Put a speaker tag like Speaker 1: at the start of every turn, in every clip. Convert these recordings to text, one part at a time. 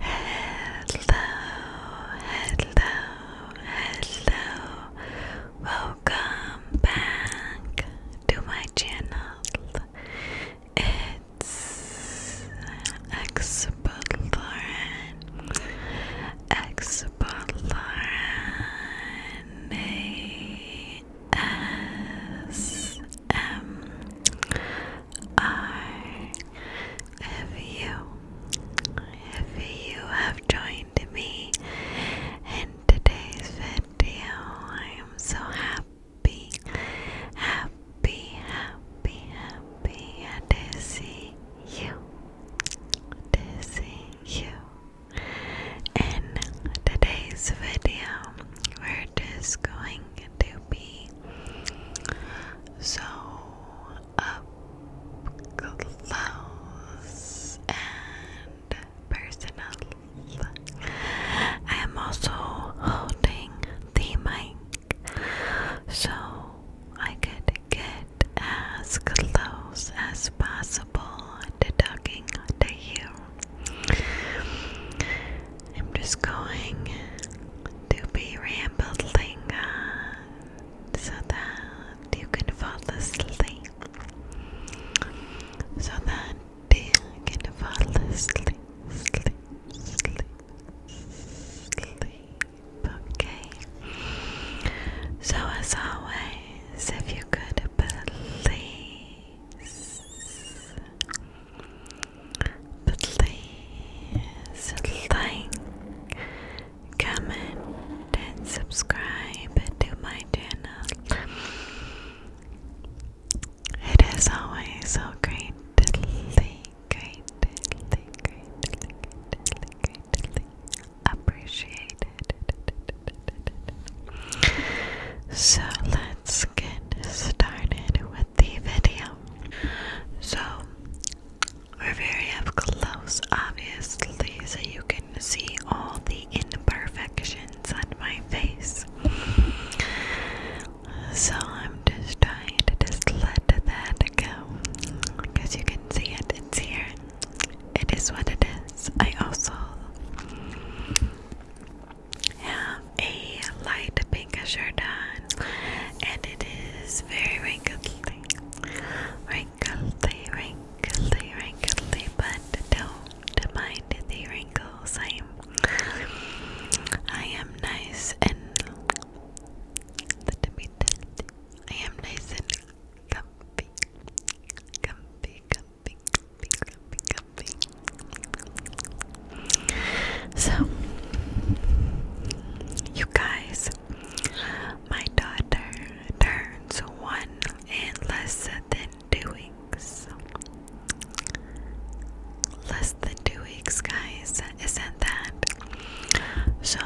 Speaker 1: hello, hello. Welcome back to my channel. It's Explorin. Explorin. A S M if you, if you have joined me in today's video, I am so happy, happy, happy, happy to see you, to see you. In today's video, we're just going to be so close and personal. I am also holding the mic so I could get as close as possible to talking to you. I'm just going to be rambling on so that you can fall asleep. So that you can fall asleep, sleep, sleep, sleep. Okay. So, as always, if you could believe please like, comment, and subscribe to my channel. It is always so great to think, great, great, great, appreciated. So let's get started with the video. So we're very up close, obviously, so you can see all the imperfections on my face. So I'm just trying to just let that go. Because you can see it, it's here. It is what it is. I also have a light pinkish are done, and it is very wrinkly, wrinkly, wrinkly, wrinkly. But don't mind the wrinkles. I am, I am nice and let me tell I am nice and comfy, comfy, comfy, comfy, comfy, comfy. So, you guys, my daughter turns one in less than two weeks. Less than two weeks, guys. Isn't that so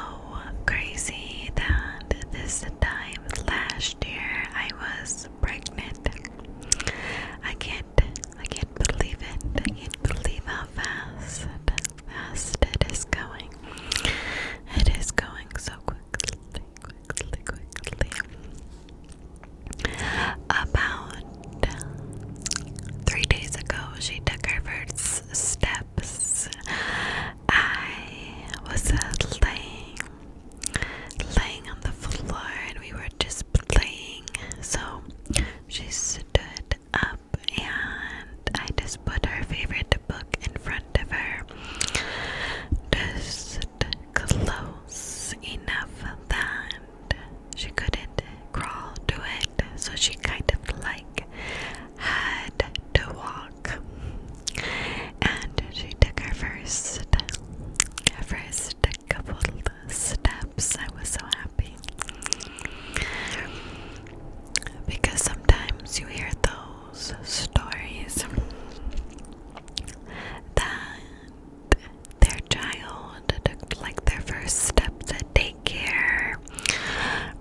Speaker 1: crazy that this time last year I was pregnant? I can't, I can't believe it. I can't believe how fast fast it is going. It is going so quickly, quickly, quickly. About three days ago, she took her first steps. I was uh, laying, laying on the floor, and we were just playing. So she stood up and I just put her favorite book in front of her. Just close enough that she couldn't crawl to it, so she kind of like had to walk. And she took her first, her first couple steps. I was so happy. Because sometimes you hear those stories that their child took like their first steps at daycare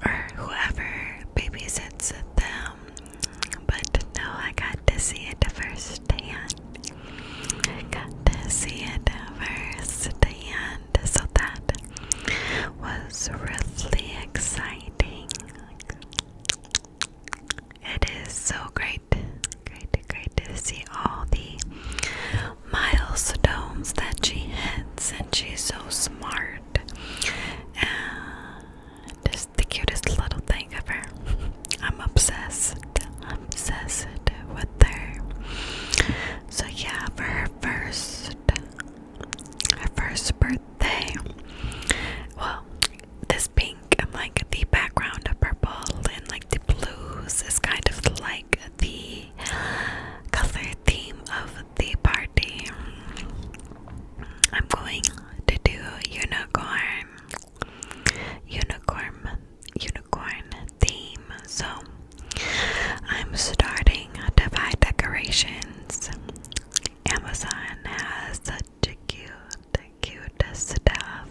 Speaker 1: or whoever babysits them. But no, I got to see it firsthand. I got to see it firsthand so that was really exciting. It is so great, great, great to see all the milestones that she hits, and she's so smart. And just the cutest little thing ever. I'm obsessed, obsessed with her. So yeah, for her first her first birthday. Well, this pink and like the background of purple and like the blues is kind of like the color theme of the party. I'm going to do unicorn. Unicorn. Unicorn unicorn theme. So I'm starting to buy Decorations. Amazon has such a cute, cute stuff.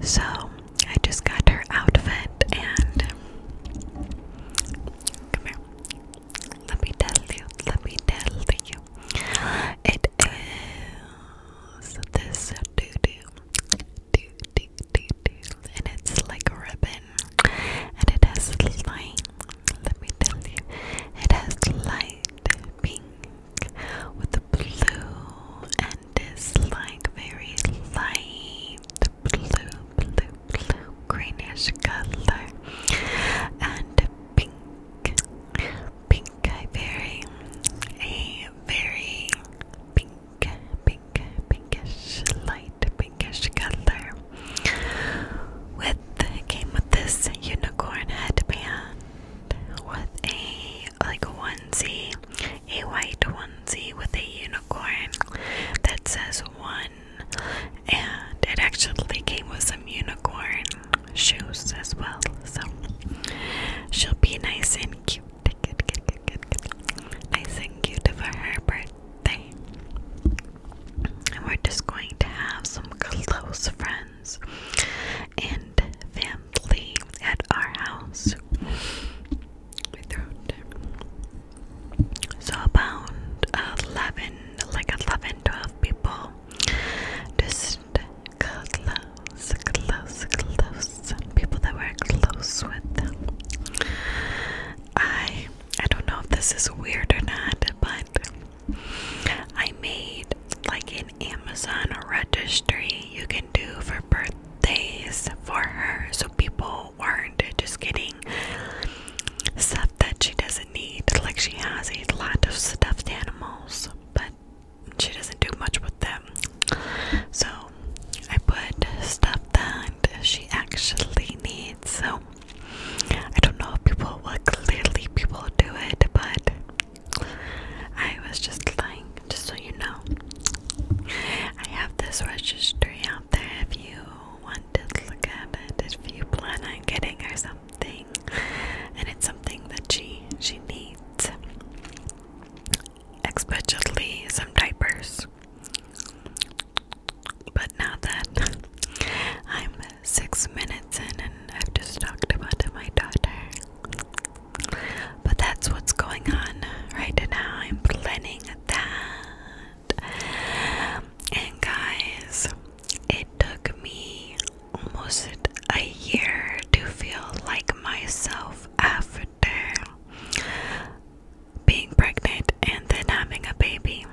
Speaker 1: So I just got her outfit and come here. Let me tell you, let me tell you. It is this doo doo, and it's like a ribbon and it has light let me tell you it has light pink with the blue and this like very light blue blue blue greenish color and pink pink I very very pink pink, pinkish, light pinkish color. With came with this unicorn headband with a like a onesie, a white onesie with a unicorn that says one, and it actually came with some unicorn shoes as well. So she'll be nice and cute. Nice and cute for her birthday. And we're just going to have some close friends and family at our house. My throat. So about eleven, like eleven, twelve people. Just close, close, close. People that we're close with. I I don't know if this is weird or not, but I made like an Amazon registry you can do for birthdays for her so people weren't just getting stuff that she doesn't need. Like she has a lot of stuffed animals, but she doesn't do much with them. So I put stuff that she actually needs. So I don't know if people will clearly people do it, but I was just lying, just so you know. I have this registry out there if you want to look at it, if you plan on getting her something, and it's something that she she needs, especially some diapers. But now that I'm six minutes in and I've just talked about my daughter, but that's what's going on right now. I'm planning that. And guys, it took me almost a year to feel like myself after being pregnant and then having a baby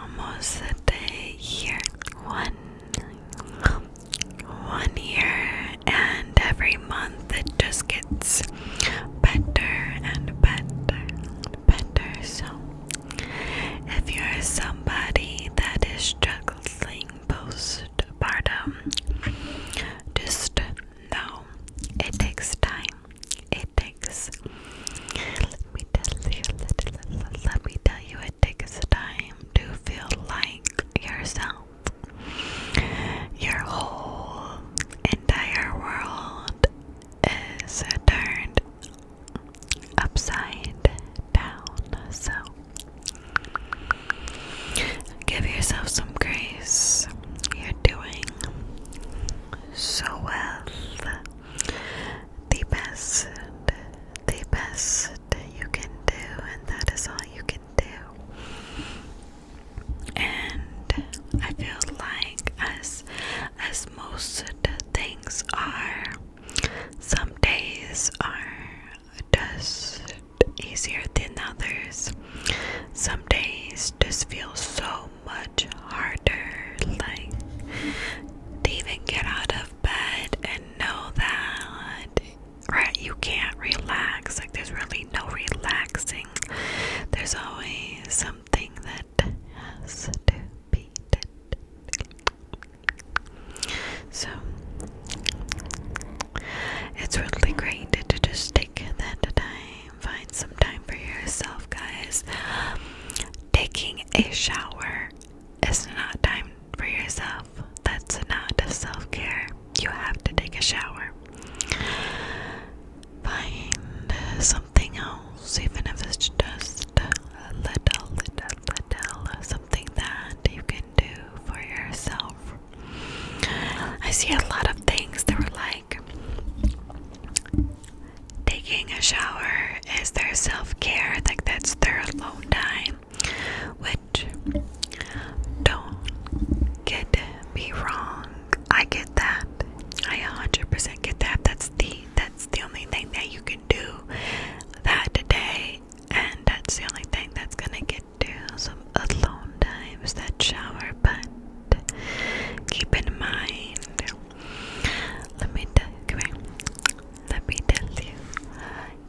Speaker 1: almost a year one one year and every month it just gets better and better better so if you're somebody that is struggling postpartum just know it takes time it takes let me tell you let, me tell you it takes time to feel like yourself your whole entire world is turned upside down so give yourself some grace you're doing so well. The best, the best you can do, and that is all you can do. And I feel like, as as most things are, some days are just easier than others. Some days just feel so much harder. Like, even get out of bed and know that, right? You can't relax. Like, there's really no relaxing. There's always something that has to be done. So, it's really great to just take that time find some time for yourself, guys. Taking a shower is not time for yourself. That's not self care. You have to take a shower. Find something else, even if it's just little, little, little, something that you can do for yourself. I see a lot of things that were like, taking a shower is their self care, like that's their alone time, which don't get me wrong. I get that. I 100% get that. That's the that's the only thing that you can do that day, and that's the only thing that's gonna get to some alone times that shower. But Keep in mind. Let me tell you, Let me tell you.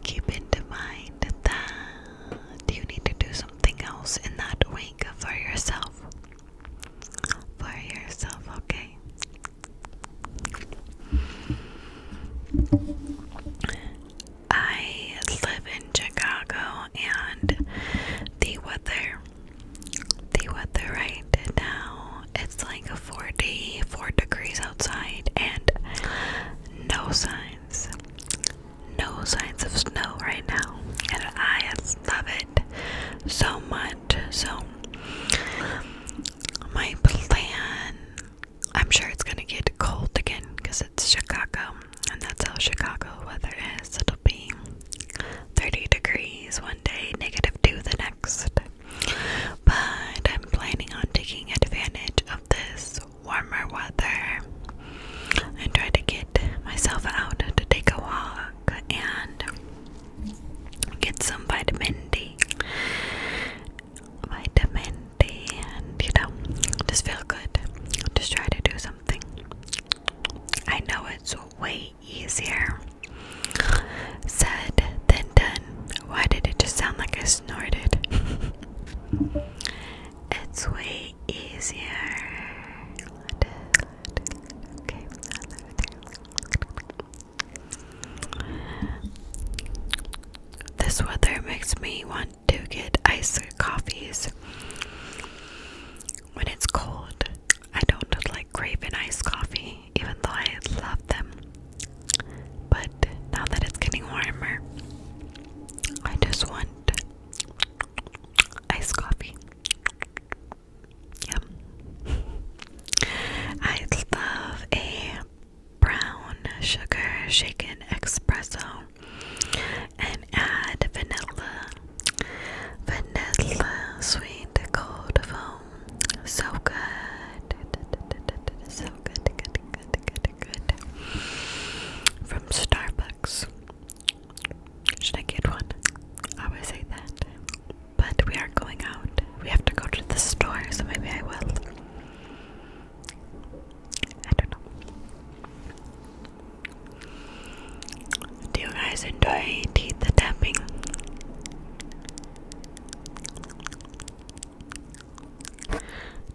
Speaker 1: Keep in mind that you need to do something else in that week for yourself. For yourself, okay? I live in Chicago and the weather the weather right now. It's like 44 degrees outside and no signs. No signs of snow right now. And I love it so much. So my plan I'm sure it's gonna get cold again because it's Chicago and that's how Chicago weather is. it being. 30 degrees one day, negative 2 the next. But I'm planning on taking advantage of this warmer weather and try to get myself out to take a walk and get some vitamin D. Vitamin D, and you know, just feel good. Just try to do something. I know it's way easier. Said, then done. Why did it just sound like I snorted? it's way easier. This weather makes me want to get iced coffees when it's cold. I don't like crave an iced coffee, even though I love them. But now that it's getting warmer, I just want iced coffee. Yeah, I love a brown sugar shaken espresso and add vanilla, vanilla sweet cold foam. So good, so good, good, good, good, good. From Starbucks. Should I get one? I always say that. But we are going out. We have to go to the store, so maybe I will. I don't know. Do you guys enjoy teeth tapping?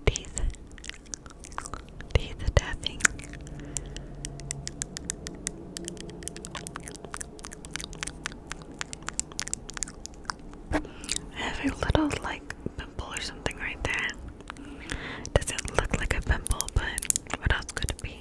Speaker 1: Teeth, teeth tapping. I have a little like pimple or something right there. Doesn't look like a pimple, but what else could it be?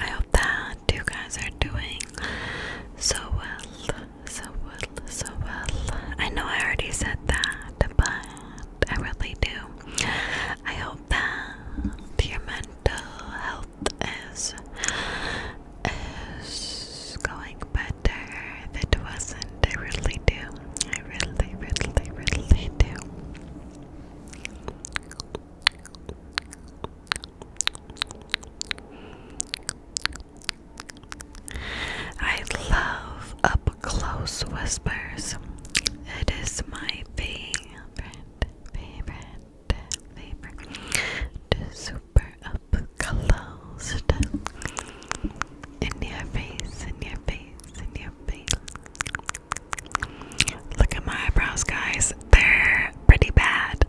Speaker 1: I hope that you guys are doing so well, so well, so well. I know I already said that, but I really do. I hope that your mental health is is going better. If it wasn't, I really do. I really, really, really do. I love up close whispers. It is my favorite, favorite, favorite. Just super up close. In your face, in your face. Look at my eyebrows, guys. They're pretty bad.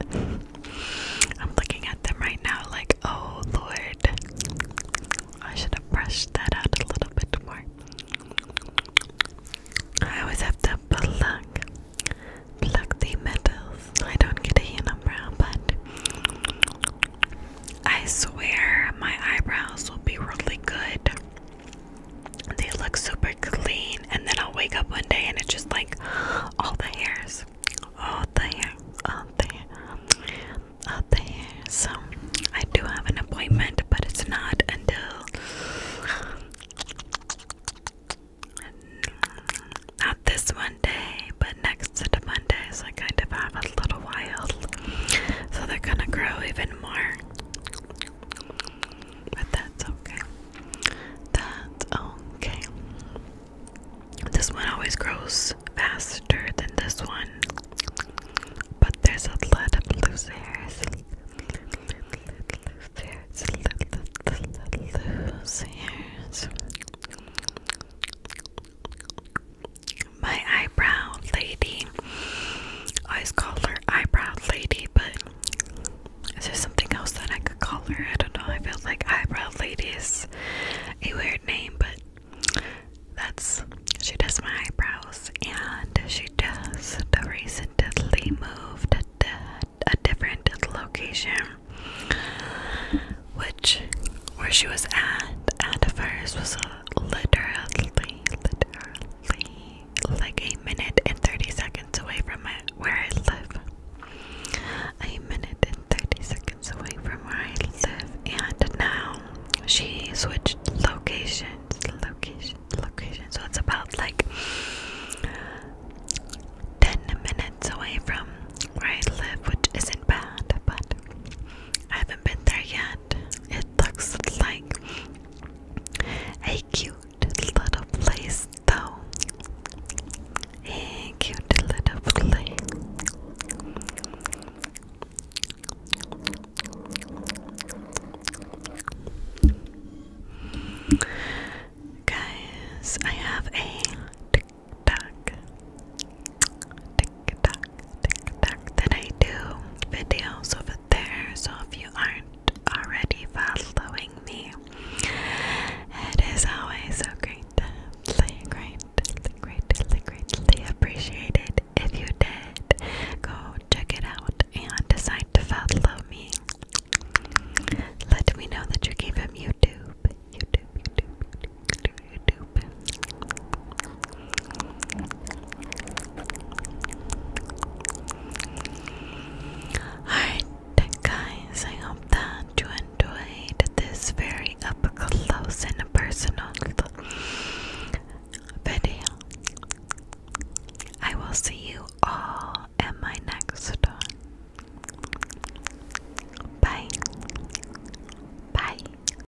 Speaker 1: I'm looking at them right now, like, oh lord. I should have brushed that out a little bit more. I always have to pluck, pluck the metals. I don't get a unibrow, but I swear my eyebrows will be really good. They look super clean, and then I'll wake up one day and it's just like all the hairs, all the hair, all the hair, So I do have an appointment, but it's not until not this one but next Monday. So I kind of have a little a so they're gonna grow even more. But that's okay. That's okay. This one always grows faster than this one, but there's a lot of loose hairs. There's loose hairs. My eyebrow lady. I always call her eyebrow lady, but is there something else that I could call her? I don't know. I feel like eyebrow ladies a weird name, but that's she does my eyebrows and she does the recently moved to a different location which where she was at at first was a literally, literally like a minute and 30 seconds away from where I live. A minute and 30 seconds away from where I live. And now she switched locations, location, location. So it's about like 10 minutes away from where I live, which isn't bad, but I have haven't been there yet. It looks like a cute little place, though. A cute little place. Guys, I have a tick tick that I do videos over there. So if you aren't already following me, it is always so greatly, greatly, greatly, greatly appreciated if you did go check it out and decide to follow me. Let me know that you gave him YouTube, YouTube, YouTube, Alright, guys, I hope that you enjoyed this very up close and personal video. I will see you all in my next one. Bye. Bye.